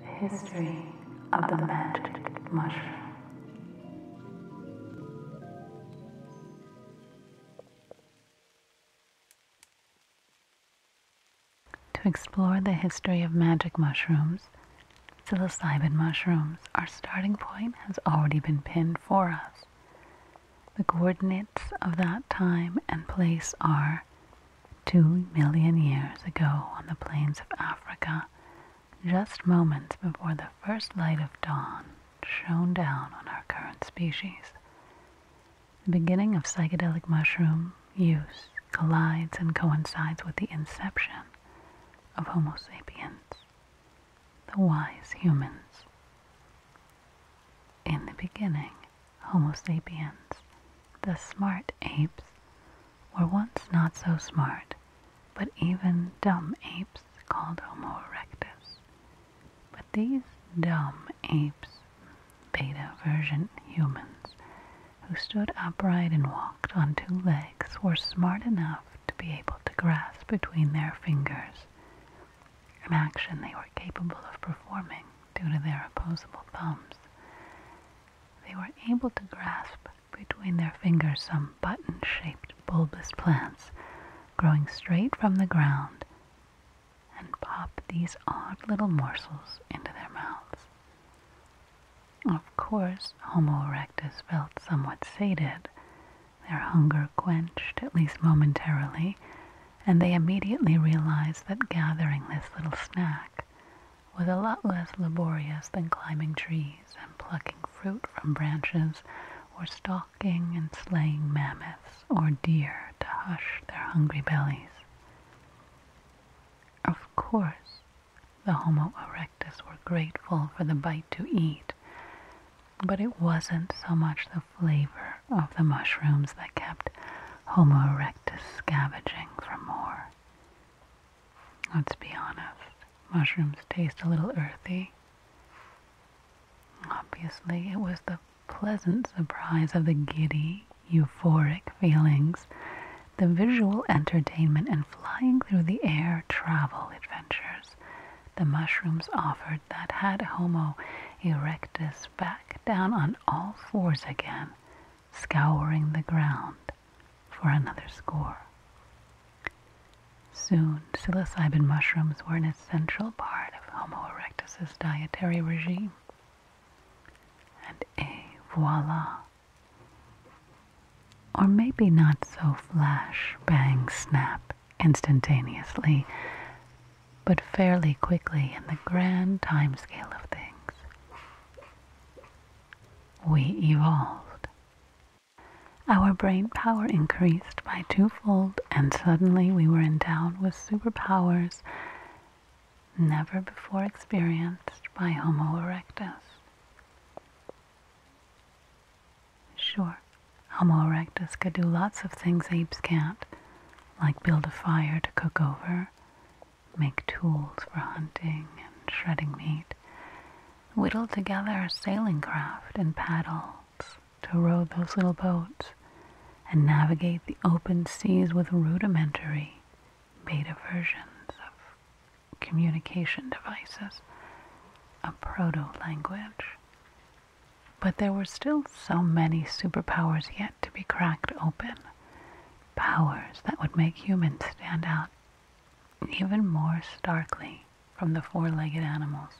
The history of the magic mushroom. To explore the history of magic mushrooms, psilocybin mushrooms, our starting point has already been pinned for us. The coordinates of that time and place are 2 million years ago on the plains of Africa, just moments before the first light of dawn shone down on our current species. The beginning of psychedelic mushroom use collides and coincides with the inception of Homo sapiens, the wise humans. In the beginning, Homo sapiens, the smart apes, were once not so smart, but even dumb apes called Homo erectus, but these dumb apes, beta version humans, who stood upright and walked on two legs, were smart enough to be able to grasp between their fingers an action they were capable of performing due to their opposable thumbs. They were able to grasp between their fingers some button shaped bulbous plants growing straight from the ground and pop these odd little morsels into their mouths. Of course, Homo erectus felt somewhat sated, their hunger quenched, at least momentarily, and they immediately realized that gathering this little snack was a lot less laborious than climbing trees and plucking fruit from branches or stalks stalking and slaying mammoths or deer to hush their hungry bellies. Of course, the Homo erectus were grateful for the bite to eat, but it wasn't so much the flavor of the mushrooms that kept Homo erectus scavenging for more. Let's be honest, mushrooms taste a little earthy. Obviously, it was the pleasant surprise of the giddy, euphoric feelings, the visual entertainment, and flying through the air travel adventures the mushrooms offered that had Homo erectus back down on all fours again, scouring the ground for another score. Soon psilocybin mushrooms were an essential part of Homo erectus's dietary regime. And eh, voila! Or maybe not so flash, bang, snap, instantaneously, but fairly quickly in the grand timescale of things. We evolved. Our brain power increased by twofold, and suddenly we were endowed with superpowers never before experienced by Homo erectus. Sure, Homo erectus could do lots of things apes can't, like build a fire to cook over, make tools for hunting and shredding meat, whittle together a sailing craft and paddle to row those little boats and navigate the open seas with rudimentary beta versions of communication devices, a proto language. But there were still so many superpowers yet to be cracked open, powers that would make humans stand out even more starkly from the four legged animals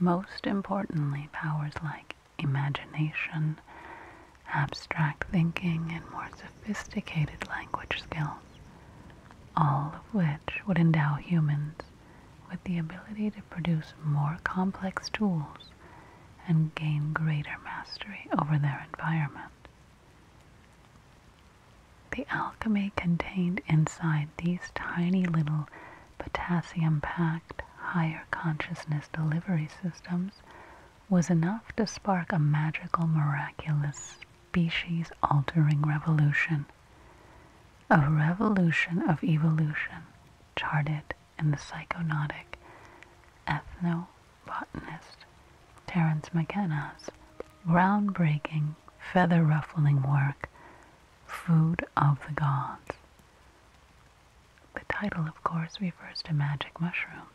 most importantly, powers like imagination, abstract thinking, and more sophisticated language skills, all of which would endow humans with the ability to produce more complex tools and gain greater mastery over their environment. The alchemy contained inside these tiny little potassium packed higher consciousness delivery systems was enough to spark a magical, miraculous, species altering revolution. A revolution of evolution charted in the psychonautic ethno-botanist Terence McKenna's groundbreaking, feather ruffling work, Food of the Gods. The title, of course, refers to magic mushrooms.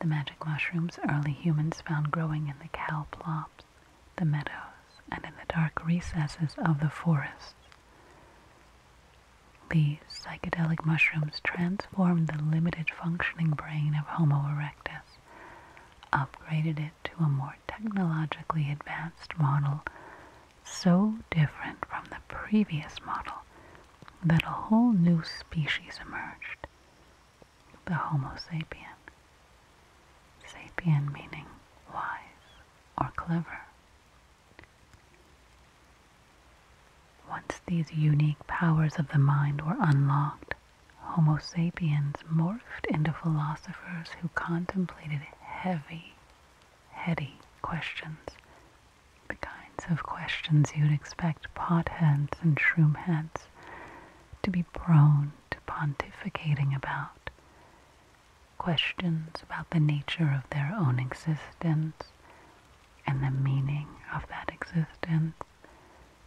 The magic mushrooms early humans found growing in the cow plops, the meadows, and in the dark recesses of the forests. These psychedelic mushrooms transformed the limited functioning brain of Homo erectus, upgraded it to a more technologically advanced model so different from the previous model that a whole new species emerged the Homo sapien. Sapien meaning wise or clever. Once these unique powers of the mind were unlocked, Homo sapiens morphed into philosophers who contemplated heavy heady questions, the kinds of questions you'd expect potheads and shroomheads to be prone to pontificating about. Questions about the nature of their own existence and the meaning of that existence,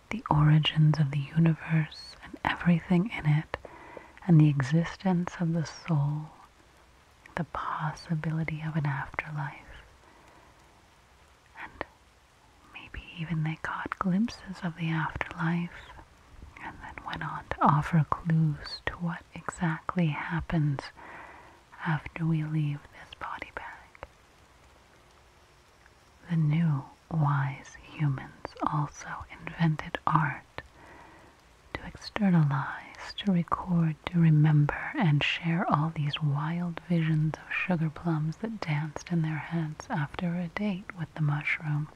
the origins of the universe and everything in it, and the existence of the soul the possibility of an afterlife. And maybe even they caught glimpses of the afterlife and then went on to offer clues to what exactly happens after we leave this body bag. The new wise humans also invented art to externalize, to record, to remember, and share all these wild visions of sugar plums that danced in their heads after a date with the mushroom.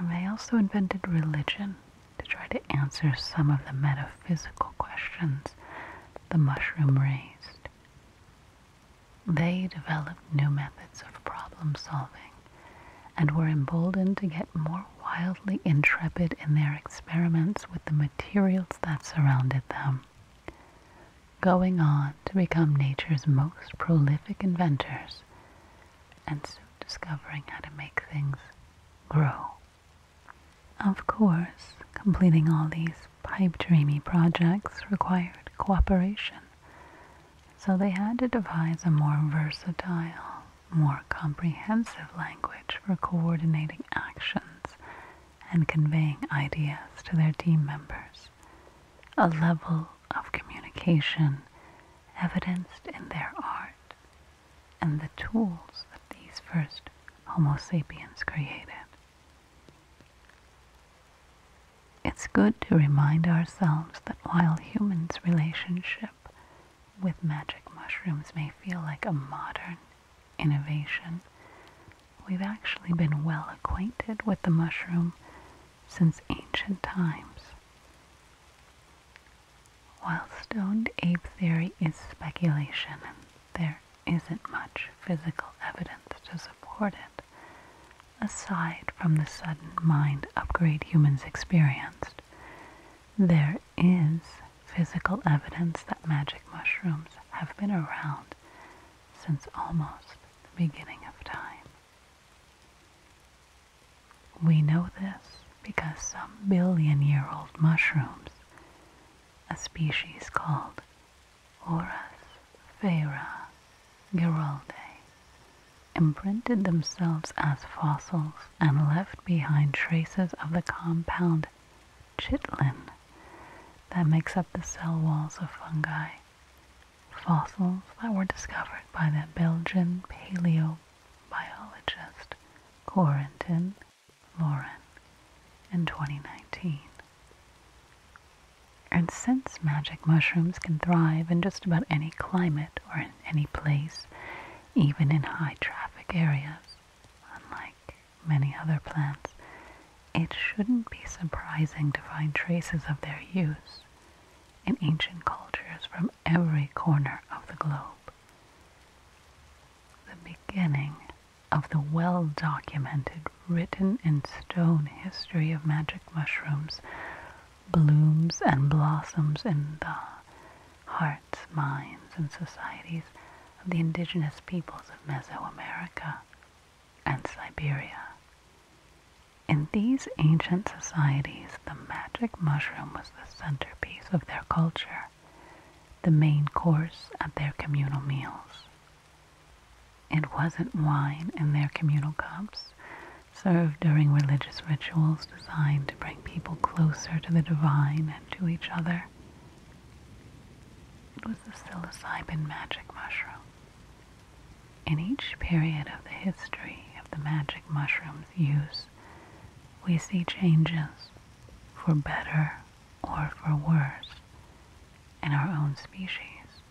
they also invented religion to try to answer some of the metaphysical questions the mushroom raised. They developed new methods of problem solving and were emboldened to get more wildly intrepid in their experiments with the materials that surrounded them, going on to become nature's most prolific inventors and soon discovering how to make things grow. Of course, completing all these pipe dreamy projects required cooperation so they had to devise a more versatile, more comprehensive language for coordinating actions and conveying ideas to their team members, a level of communication evidenced in their art and the tools that these first Homo sapiens created. It's good to remind ourselves that while humans' relationship with magic mushrooms may feel like a modern innovation, we've actually been well acquainted with the mushroom since ancient times. While stoned ape theory is speculation and there isn't much physical evidence to support it, aside from the sudden mind upgrade humans experienced, there is physical evidence that magic mushrooms have been around since almost the beginning of time. We know this because some billion year old mushrooms, a species called Orus Vera Giraldae imprinted themselves as fossils and left behind traces of the compound chitlin that makes up the cell walls of fungi. Fossils that were discovered by the Belgian paleobiologist Corentin Laurent in 2019. And since magic mushrooms can thrive in just about any climate or any place, even in high traffic areas. Unlike many other plants, it shouldn't be surprising to find traces of their use in ancient cultures from every corner of the globe. The beginning of the well documented written in stone history of magic mushrooms blooms and blossoms in the hearts, minds, and societies of the indigenous peoples of Mesoamerica and Siberia. In these ancient societies, the magic mushroom was the centerpiece of their culture, the main course at their communal meals. It wasn't wine in their communal cups, Served during religious rituals designed to bring people closer to the divine and to each other. It was the psilocybin magic mushroom. In each period of the history of the magic mushroom's use, we see changes for better or for worse in our own species,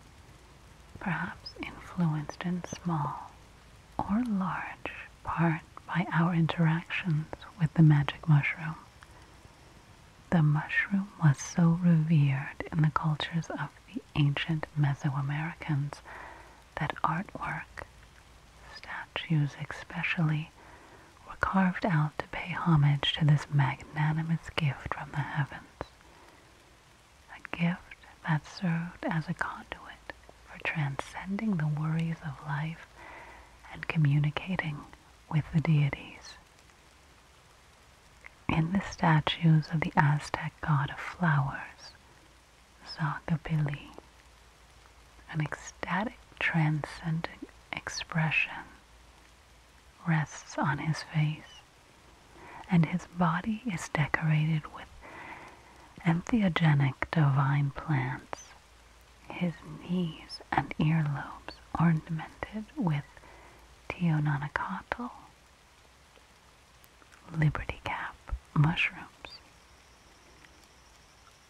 perhaps influenced in small or large part by our interactions with the magic mushroom. The mushroom was so revered in the cultures of the ancient Mesoamericans that artwork, statues especially, were carved out to pay homage to this magnanimous gift from the heavens a gift that served as a conduit for transcending the worries of life and communicating with the deities. In the statues of the Aztec god of flowers, Zacapili, an ecstatic transcendent expression rests on his face, and his body is decorated with and theogenic divine plants, his knees and earlobes ornamented with teononacotl, liberty cap mushrooms.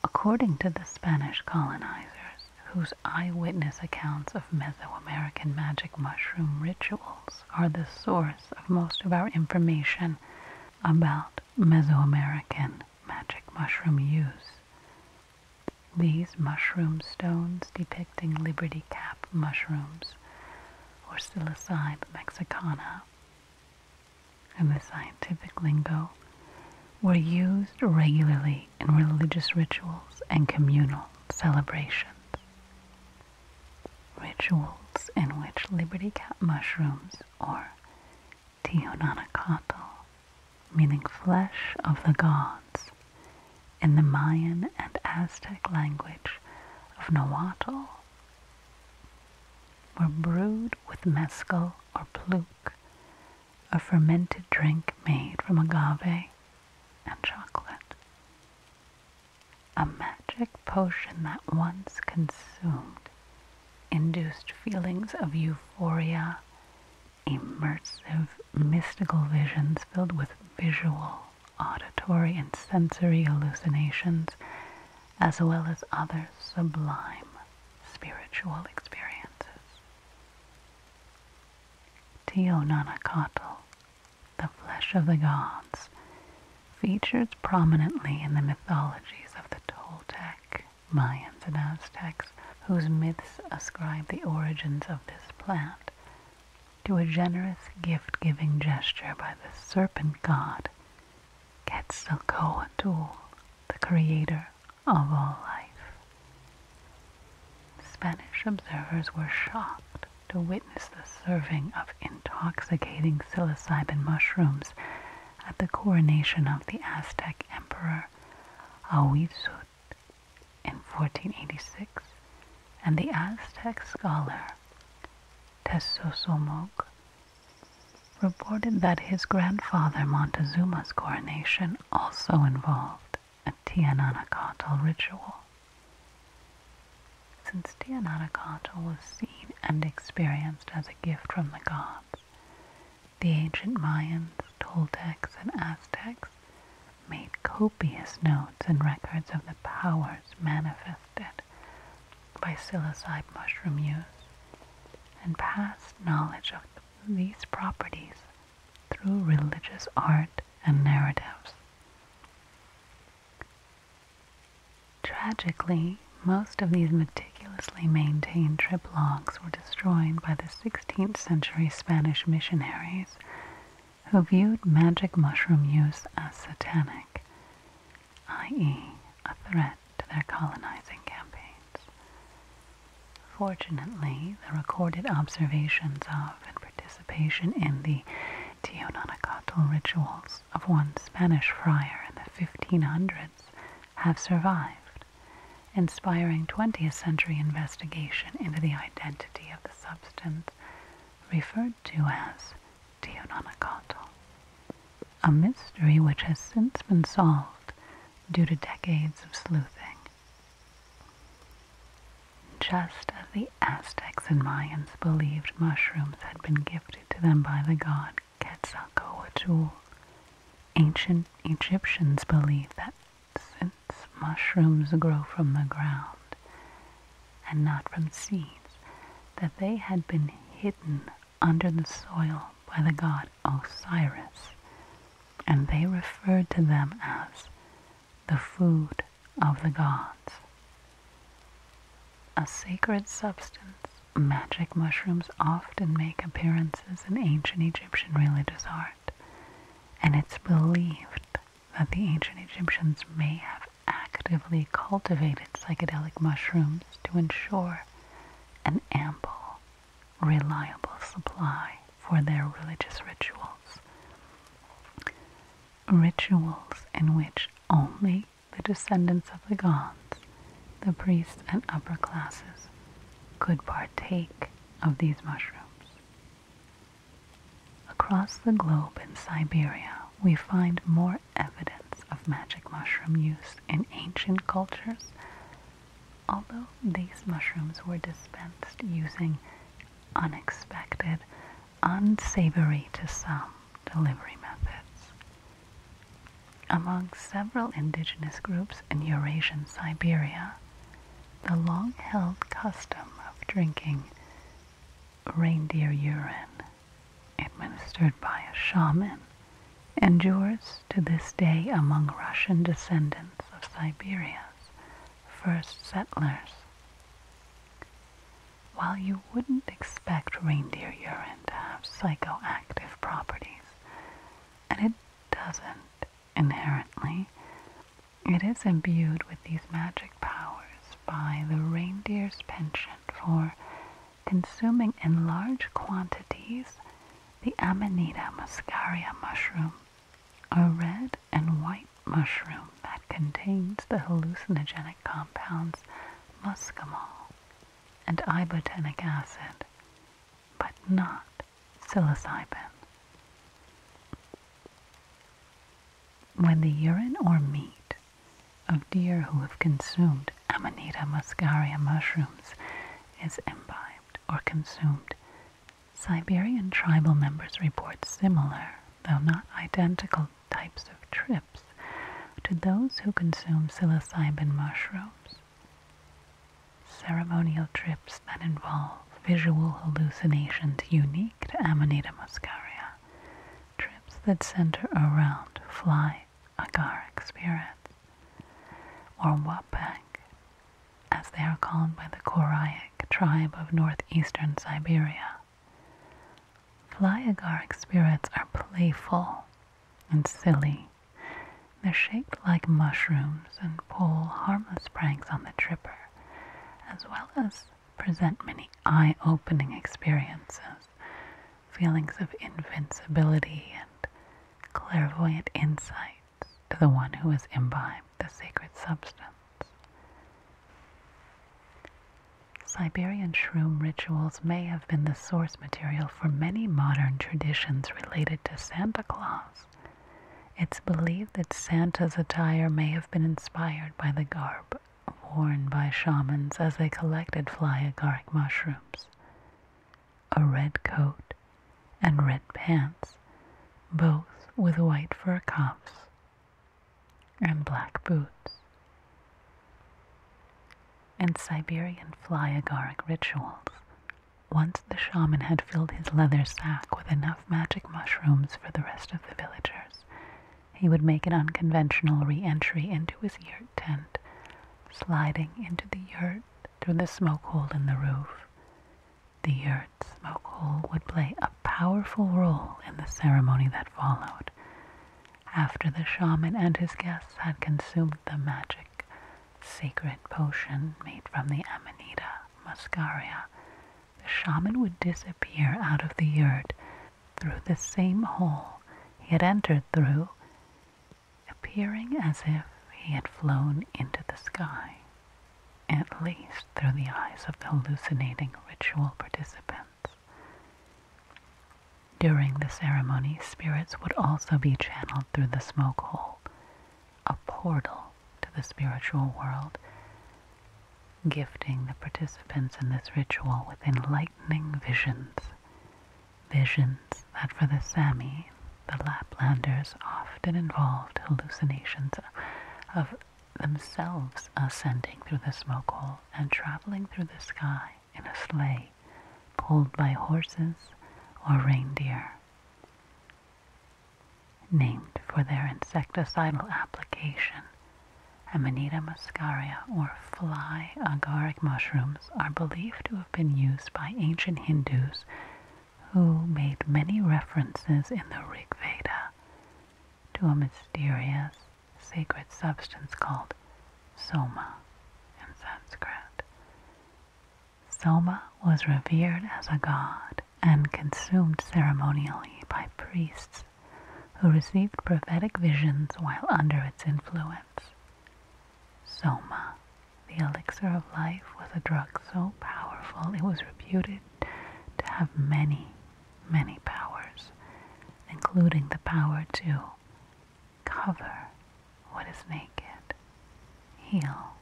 According to the Spanish colonizers, whose eyewitness accounts of Mesoamerican magic mushroom rituals are the source of most of our information about Mesoamerican magic mushroom use. These mushroom stones depicting Liberty cap mushrooms or Psilocybe mexicana in the scientific lingo were used regularly in religious rituals and communal celebrations rituals in which Liberty Cat mushrooms or Teonanacatl, meaning flesh of the gods, in the Mayan and Aztec language of Nahuatl, were brewed with mescal or pluk, a fermented drink made from agave and chocolate. A magic potion that once consumed induced feelings of euphoria, immersive mystical visions filled with visual, auditory, and sensory hallucinations, as well as other sublime spiritual experiences. Teo the flesh of the gods, features prominently in the mythologies of the Toltec, Mayans, and Aztecs, whose myths ascribe the origins of this plant to a generous gift-giving gesture by the serpent god Quetzalcoatl, the creator of all life. Spanish observers were shocked to witness the serving of intoxicating psilocybin mushrooms at the coronation of the Aztec emperor Ahuizotl in 1486 and the Aztec scholar Tezosomoc reported that his grandfather Montezuma's coronation also involved a Tiananacatl ritual since Tianatakata was seen and experienced as a gift from the gods. The ancient Mayans, Toltecs, and Aztecs made copious notes and records of the powers manifested by psilocybe mushroom use, and passed knowledge of these properties through religious art and narratives. Tragically, most of these meticulously maintained trip logs were destroyed by the 16th century Spanish missionaries who viewed magic mushroom use as satanic, i.e., a threat to their colonizing campaigns. Fortunately, the recorded observations of and participation in the Teonanacatl rituals of one Spanish friar in the 1500s have survived, inspiring 20th century investigation into the identity of the substance referred to as teononicato, a mystery which has since been solved due to decades of sleuthing. Just as the Aztecs and Mayans believed mushrooms had been gifted to them by the god Quetzalcoatl. Ancient Egyptians believed that since mushrooms grow from the ground and not from seeds, that they had been hidden under the soil by the god Osiris, and they referred to them as the food of the gods. A sacred substance, magic mushrooms often make appearances in ancient Egyptian religious art, and it's believed that the ancient Egyptians may have actively cultivated psychedelic mushrooms to ensure an ample, reliable supply for their religious rituals. Rituals in which only the descendants of the gods, the priests and upper classes, could partake of these mushrooms. Across the globe in Siberia, we find more evidence of magic mushroom use in ancient cultures, although these mushrooms were dispensed using unexpected, unsavory to some, delivery methods. Among several indigenous groups in Eurasian Siberia, the long held custom of drinking reindeer urine, administered by a shaman, endures to this day among Russian descendants of Siberia's first settlers. While you wouldn't expect reindeer urine to have psychoactive properties, and it doesn't inherently, it is imbued with these magic powers by the reindeer's penchant for consuming in large quantities the Amanita muscaria mushroom, a red and white mushroom that contains the hallucinogenic compounds muscimol and ibotenic acid, but not psilocybin. When the urine or meat of deer who have consumed Amanita muscaria mushrooms is imbibed or consumed, Siberian tribal members report similar, though not identical types of trips to those who consume psilocybin mushrooms. Ceremonial trips that involve visual hallucinations unique to Amanita muscaria, trips that center around fly agaric spirits, or wapak, as they are called by the Koryak tribe of northeastern Siberia. Flyagaric spirits are playful and silly. They're shaped like mushrooms and pull harmless pranks on the tripper, as well as present many eye opening experiences, feelings of invincibility, and clairvoyant insights to the one who has imbibed the sacred substance. Siberian shroom rituals may have been the source material for many modern traditions related to Santa Claus. It's believed that Santa's attire may have been inspired by the garb worn by shamans as they collected fly agaric mushrooms. A red coat and red pants, both with white fur cuffs, and black boots, and Siberian fly agaric rituals. Once the shaman had filled his leather sack with enough magic mushrooms for the rest of the villagers, he would make an unconventional re entry into his yurt tent, sliding into the yurt through the smoke hole in the roof. The yurt smoke hole would play a powerful role in the ceremony that followed, after the shaman and his guests had consumed the magic sacred potion made from the Amanita muscaria, the shaman would disappear out of the yurt through the same hole he had entered through, appearing as if he had flown into the sky, at least through the eyes of the hallucinating ritual participants. During the ceremony, spirits would also be channeled through the smoke hole, a portal to the spiritual world, gifting the participants in this ritual with enlightening visions. Visions that for the Sami, the Laplanders, often involved hallucinations of themselves ascending through the smoke hole and traveling through the sky in a sleigh pulled by horses or reindeer. Named for their insecticidal application, Amanita muscaria or fly agaric mushrooms are believed to have been used by ancient Hindus who made many references in the Rig Veda to a mysterious sacred substance called soma in Sanskrit. Soma was revered as a god and consumed ceremonially by priests who received prophetic visions while under its influence. Soma, the elixir of life, was a drug so powerful it was reputed to have many many powers, including the power to cover what is naked, heal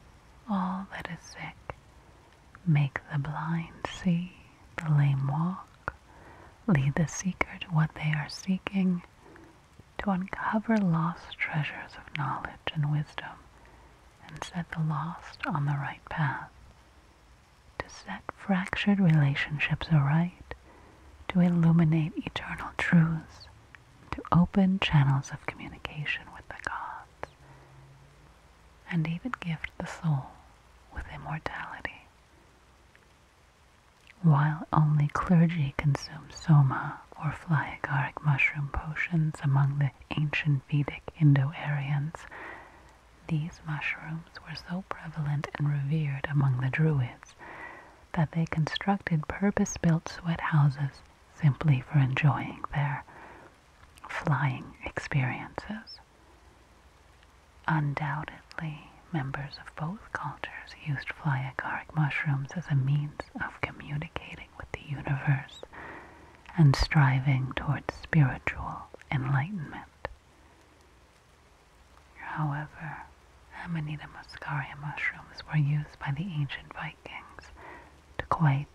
all that is sick, make the blind see, the lame walk, lead the seeker to what they are seeking, to uncover lost treasures of knowledge and wisdom, and set the lost on the right path to set fractured relationships aright, to illuminate eternal truths, to open channels of communication with the gods, and even gift the soul with immortality. While only clergy consume soma or fly agaric mushroom potions among the ancient Vedic Indo-Aryans, these mushrooms were so prevalent and revered among the Druids that they constructed purpose built sweat houses simply for enjoying their flying experiences. Undoubtedly, members of both cultures used fly agaric mushrooms as a means of communicating with the universe and striving towards spiritual enlightenment. However, Amanita muscaria mushrooms were used by the ancient Vikings to quite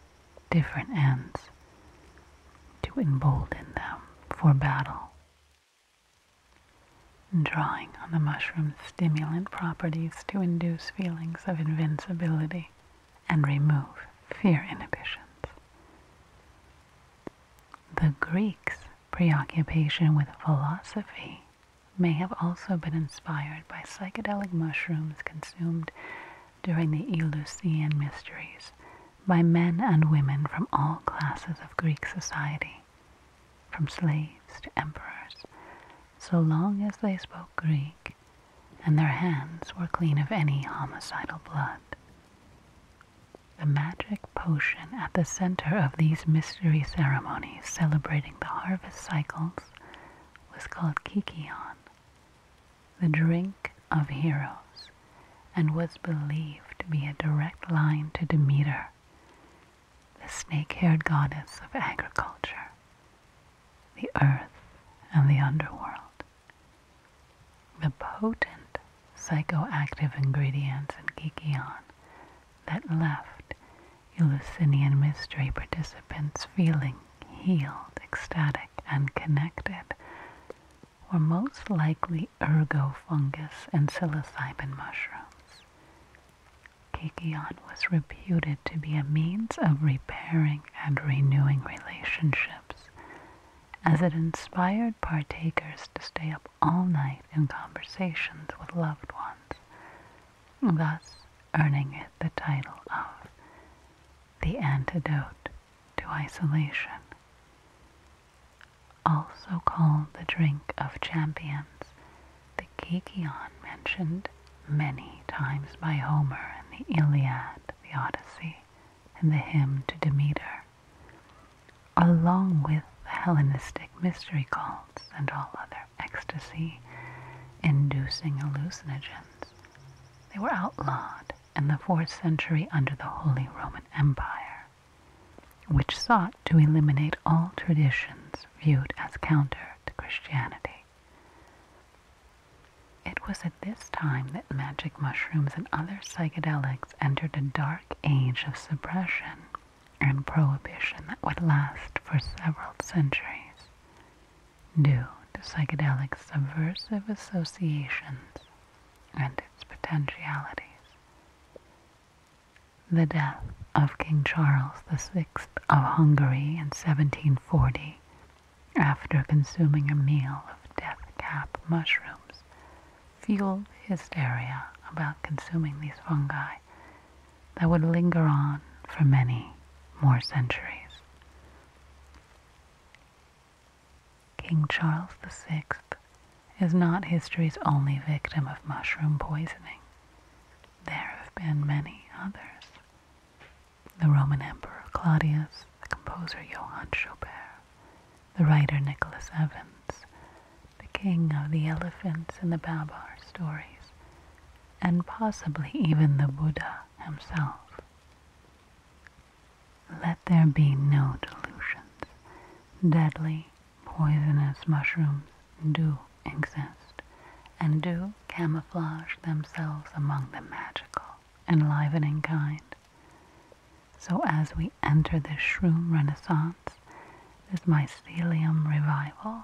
different ends to embolden them for battle. Drawing on the mushroom's stimulant properties to induce feelings of invincibility and remove fear inhibitions. The Greeks Preoccupation with philosophy may have also been inspired by psychedelic mushrooms consumed during the Eleusinian Mysteries by men and women from all classes of Greek society, from slaves to emperors, so long as they spoke Greek and their hands were clean of any homicidal blood. The magic potion at the center of these mystery ceremonies celebrating the harvest cycles was called Kikion, the drink of heroes, and was believed to be a direct line to Demeter, the snake haired goddess of agriculture, the earth, and the underworld. The potent psychoactive ingredients in Kikion that left Eleusinian mystery participants feeling healed, ecstatic, and connected were most likely ergo fungus and psilocybin mushrooms. Kikion was reputed to be a means of repairing and renewing relationships as it inspired partakers to stay all night in conversations with loved ones, thus earning it the title of the antidote to isolation. Also called the drink of champions, the Kikion mentioned many times by Homer in the Iliad, the Odyssey, and the hymn to Demeter along with the Hellenistic mystery cults and all other ecstasy inducing hallucinogens. They were outlawed in the 4th century under the Holy Roman Empire, which sought to eliminate all traditions viewed as counter to Christianity. It was at this time that magic mushrooms and other psychedelics entered a dark age of suppression and prohibition that would last for several centuries due to psychedelic subversive associations and its potentialities. The death of King Charles VI of Hungary in 1740 after consuming a meal of death cap mushrooms fueled hysteria about consuming these fungi that would linger on for many more centuries. King Charles VI is not history's only victim of mushroom poisoning. There have been many others. The Roman Emperor Claudius, the composer Johann Schubert, the writer Nicholas Evans, the king of the elephants in the Babar stories, and possibly even the Buddha himself. Let there be no delusions. Deadly, poisonous mushrooms do exist and do camouflage themselves among the magical, enlivening kind. So as we enter this shroom renaissance, this mycelium revival,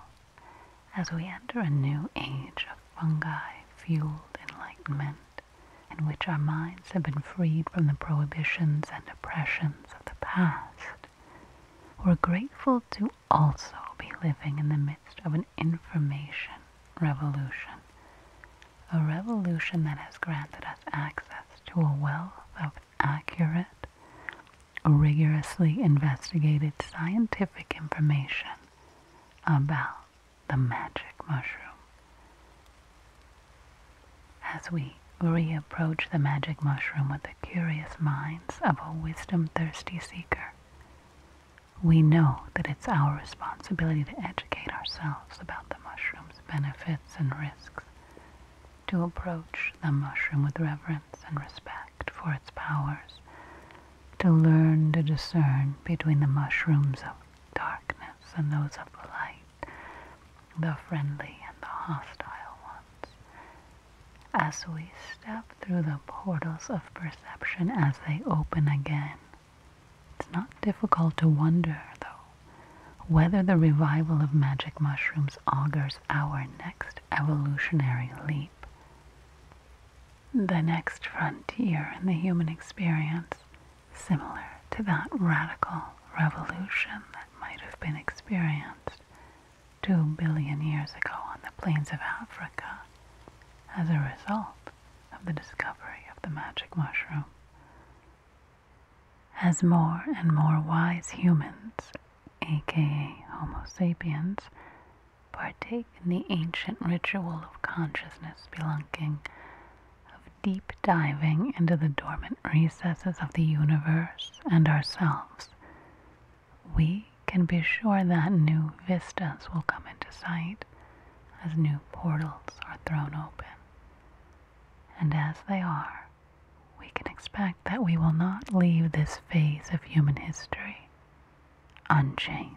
as we enter a new age of fungi fueled enlightenment, in which our minds have been freed from the prohibitions and oppressions of the past, we're grateful to also be living in the midst of an information revolution, a revolution that has granted us access to a wealth of accurate, rigorously investigated scientific information about the magic mushroom. As we reapproach the magic mushroom with the curious minds of a wisdom thirsty seeker, we know that it's our responsibility to educate ourselves about the mushroom's benefits and risks to approach the mushroom with reverence and respect for its powers, to learn to discern between the mushrooms of darkness and those of light, the friendly and the hostile ones. As we step through the portals of perception as they open again, it's not difficult to wonder, though, whether the revival of magic mushrooms augurs our next evolutionary leap, the next frontier in the human experience, similar to that radical revolution that might have been experienced two billion years ago on the plains of Africa as a result of the discovery of the magic mushroom. As more and more wise humans, aka Homo sapiens, partake in the ancient ritual of consciousness spelunking, of deep diving into the dormant recesses of the universe and ourselves, we can be sure that new vistas will come into sight as new portals are thrown open. And as they are, we can expect that we will not leave this phase of human history unchanged.